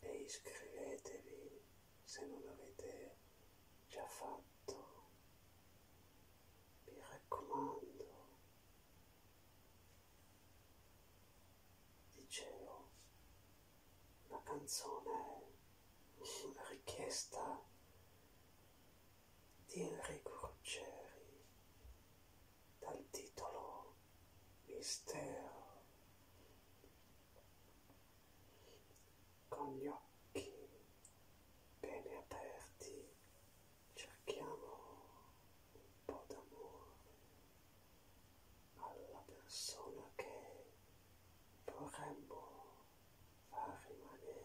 e iscrivetevi se non l'avete già fatto. Mi raccomando. Dicevo, la canzone è una richiesta di Enrico Ruggeri dal titolo Mistero con gli occhi bene aperti cerchiamo un po' d'amore alla persona che vorremmo far rimanere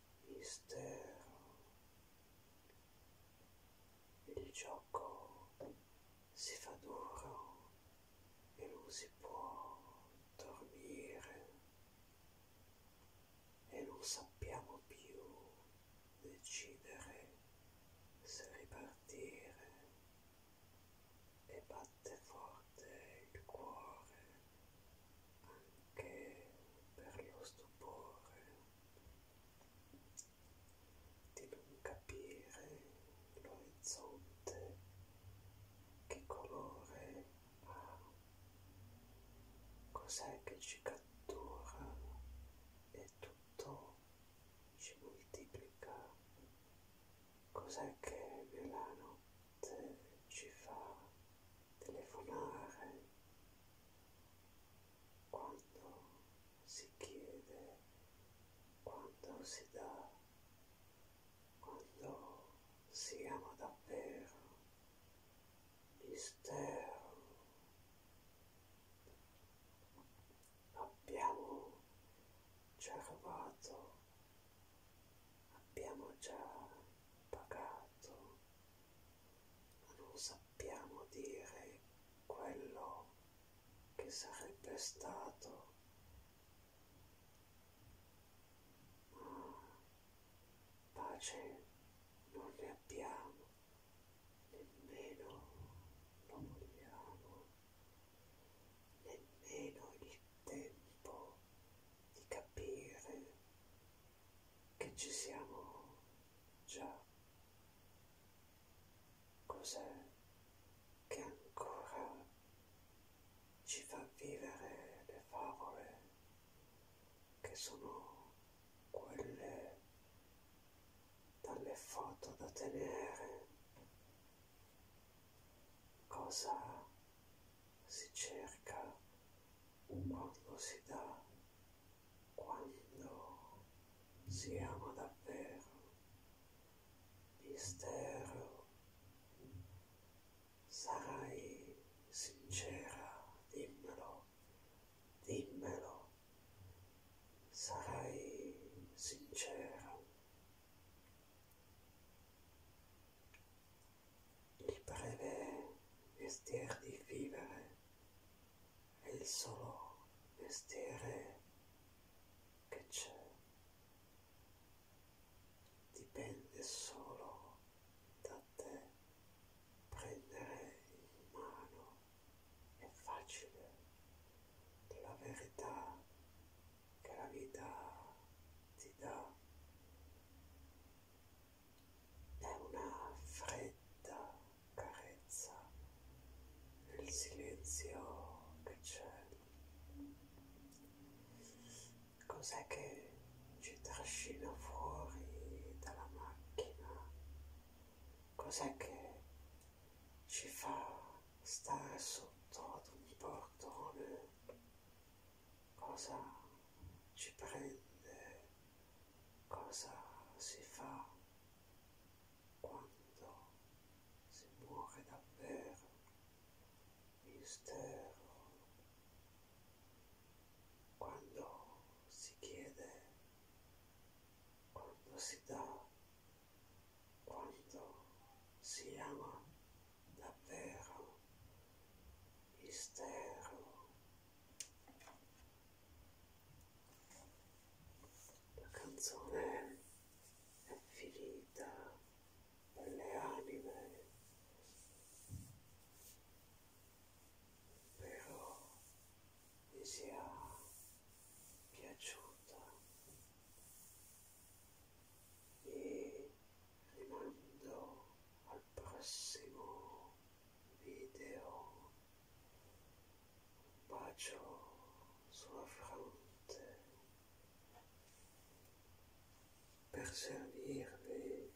este il gioco si fa duro e non si può dormire e non sappiamo più decidere se ripartire e batte forte il cuore anche per lo stupore di non capire l'orizzonte che colore ha cos'è che ci cattura e tutto ci moltiplica cos'è che nella notte ci fa telefonare quando si chiede, quando si dà, quando si ama davvero, mistero. Abbiamo cercato abbiamo già pagato, ma non sappiamo dire quello che sarebbe stato. Ma mm. pace non ne abbiamo, nemmeno lo vogliamo, nemmeno il tempo di capire che ci siamo già. Cos'è che ancora ci fa vivere le favole che sono quelle dalle foto da tenere? Cosa si cerca un modo si dà quando si ama davvero mistero sarai sincera dimmelo dimmelo sarai sincera gli preve mestier di vivere, è il solo mestiere che c'è. Dipende solo da te. Prendere in mano è facile, la verità che la vita ti dà è una fredda carezza nel silenzio che c'è. Cos'è che ci trascina fuori dalla macchina? Cos'è che ci fa stare sotto ad un portone, cosa ci prende, cosa si fa quando si muore davvero, mistero. Quando si chiede, quando si dà quando si ama davvero mistero. La canzone è finita per le anime, però vi sia piaciuta e rimando al prossimo video un bacio sulla fronte per servirvi